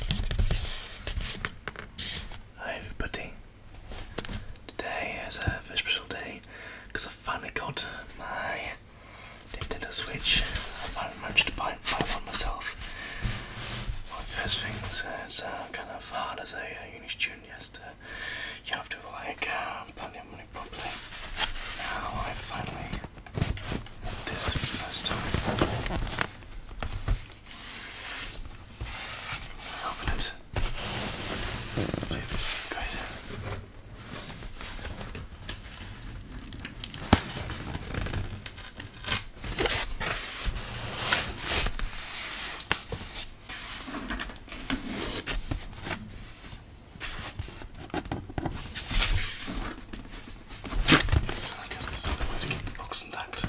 Hi everybody, today is a very special day because I finally got my Nintendo Switch. I managed to buy, one myself. One the first thing is uh, uh, kind of hard as a uh, uni student, yes, to, you have to like uh, plan your money properly. Now I finally, this first time. Open it. Do this, guys. I guess this is the way to keep the box intact. Oh,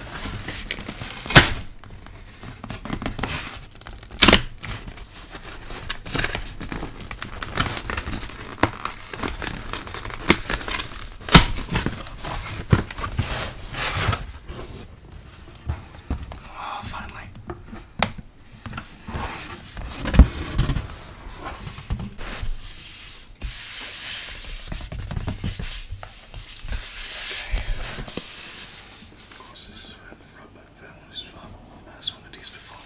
finally. Of course, this is where the Flatback family is from. I've asked one of these before.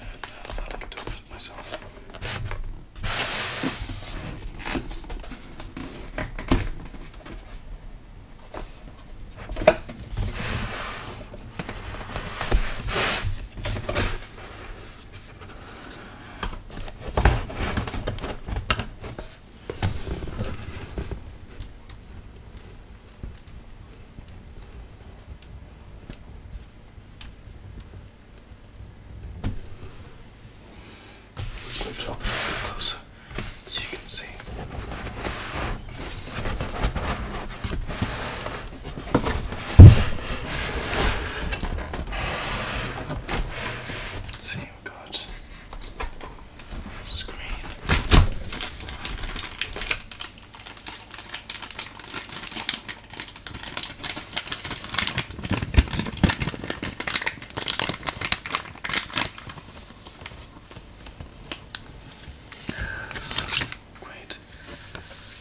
And I thought I could do it myself. Lift up a little closer so you can see. Let's see, we got screen. great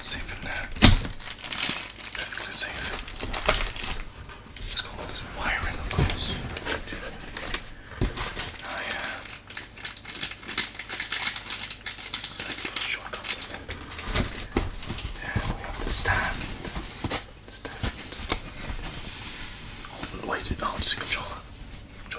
Safe in there. Perfectly safe. Let's go this wiring, of course. I am. shortcuts, I we have the stand. stand. wait, oh, it's the controller. Joy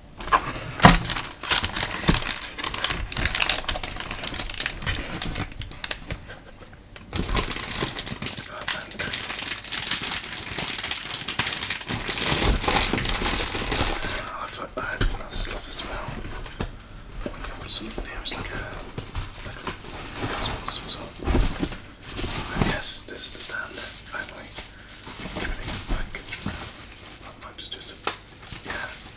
I've, I, I just love the smell. Put something in here, it's like a, it's like a, some sort. And yes, this is the stand. Finally, giving it back. I might just do some, yeah.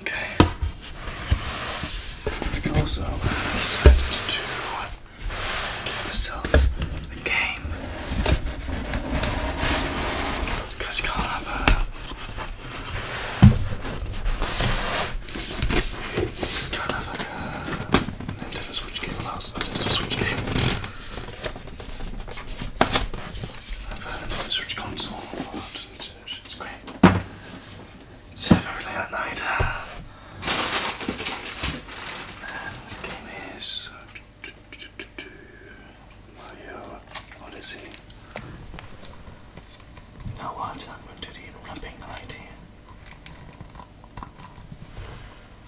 Okay. also decided to give myself a game. Because can't have a... Can't have like switch game last. I did a switch game. I've had into the switch console a lot. It's, it's great. It's very late at night. And this game is uh, Mario Odyssey. Now why is that? Did he even wrapping the light here?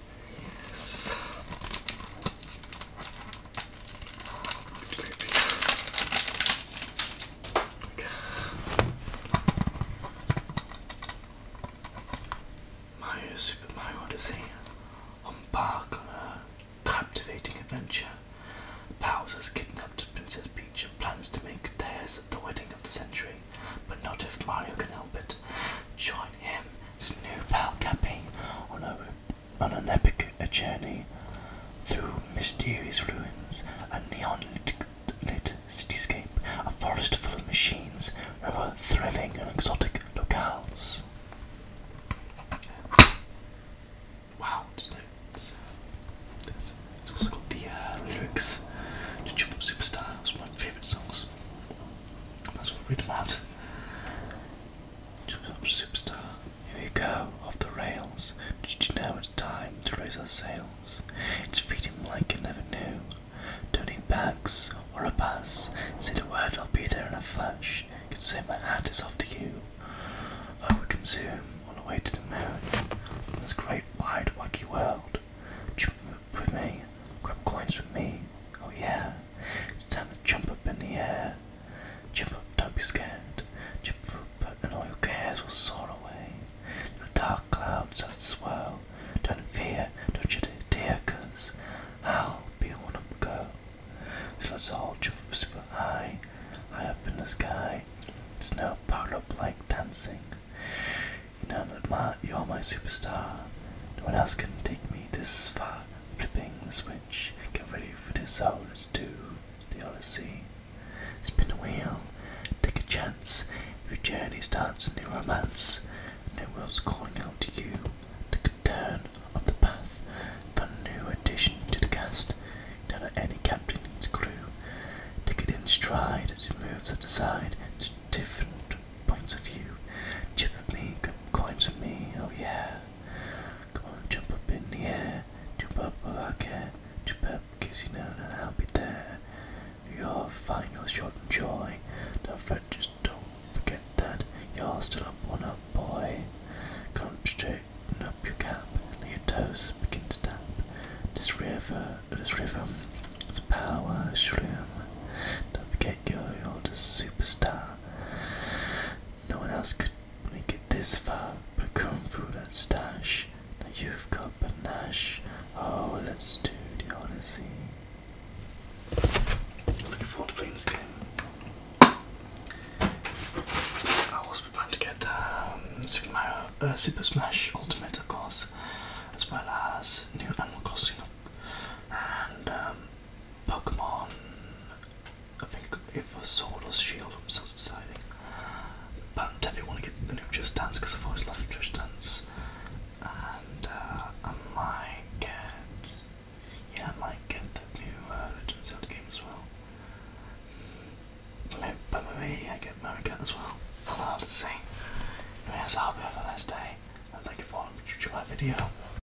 Yes. Super Mario Odyssey. Embark on a captivating adventure. Bowser kidnapped Princess Peach and plans to make theirs the wedding of the century, but not if Mario can help it. Join him, his new pal Cappy, on a on an epic journey through mysterious ruins, a neon lit cityscape, a forest full of machines, over thrilling and exotic locales. Wow, it's also got the uh, lyrics to Jump Superstar, it's one of my favourite songs. That's what I read Superstar, here we go, off the rails. Did you know it's time to raise our sails? It's feeding like you never knew. Don't need backs or a pass, say the word, I'll be there in a flash. can say my hat is off to you. Oh, we can zoom on the way to the moon. In this great wide wacky world. Jump with me, grab coins with me. Oh yeah, it's time to jump up in the air. Jump up, don't be scared. Jump up, and all your cares will soar away. The dark clouds have swirl. Don't fear, don't you dear, cause I'll be a one up girl. So let's all jump up super high, high up in the sky. It's no powered up like dancing. You know, admire, you're my superstar. No one else can take me this far, flipping this way. Get ready for this hours too. The Odyssey. Spin the wheel. Take a chance. Your journey starts a new romance. A new world's calling out to you. Take a turn of the path. For a new addition to the cast. Not at any captain in his crew. Take it in stride as it moves at the side to different points of view. Chip of me, coins of me, oh yeah. Come on, jump up in the air. Jump up while I can. Jump up, cause you know that I'll be there. Your final shot and joy. Don't fret, just don't forget that. You're still a born up, boy. Come straighten up your cap. Let your toes begin to tap. This river, this river, it's power shroom. Don't forget you're, you're the superstar. No one else could make it this far, but come through that stash. Now you've got Nash. Oh, let's do the Odyssey. Looking forward to playing this game. I was planning to get um, uh, Super, Smash Ultimate, of course, as well as New Animal Crossing, and um, Pokemon. I think if Sword or Shield, I'm still deciding. But I definitely want to get the new Just Dance because I've always loved Just Dance. And uh, I might get. Yeah, I might get the new uh, Legend of Zelda game as well. Maybe, but me, I get Mario Kart as well. I'll have to see. Anyways, I hope you have a nice day. And thank you for watching my video.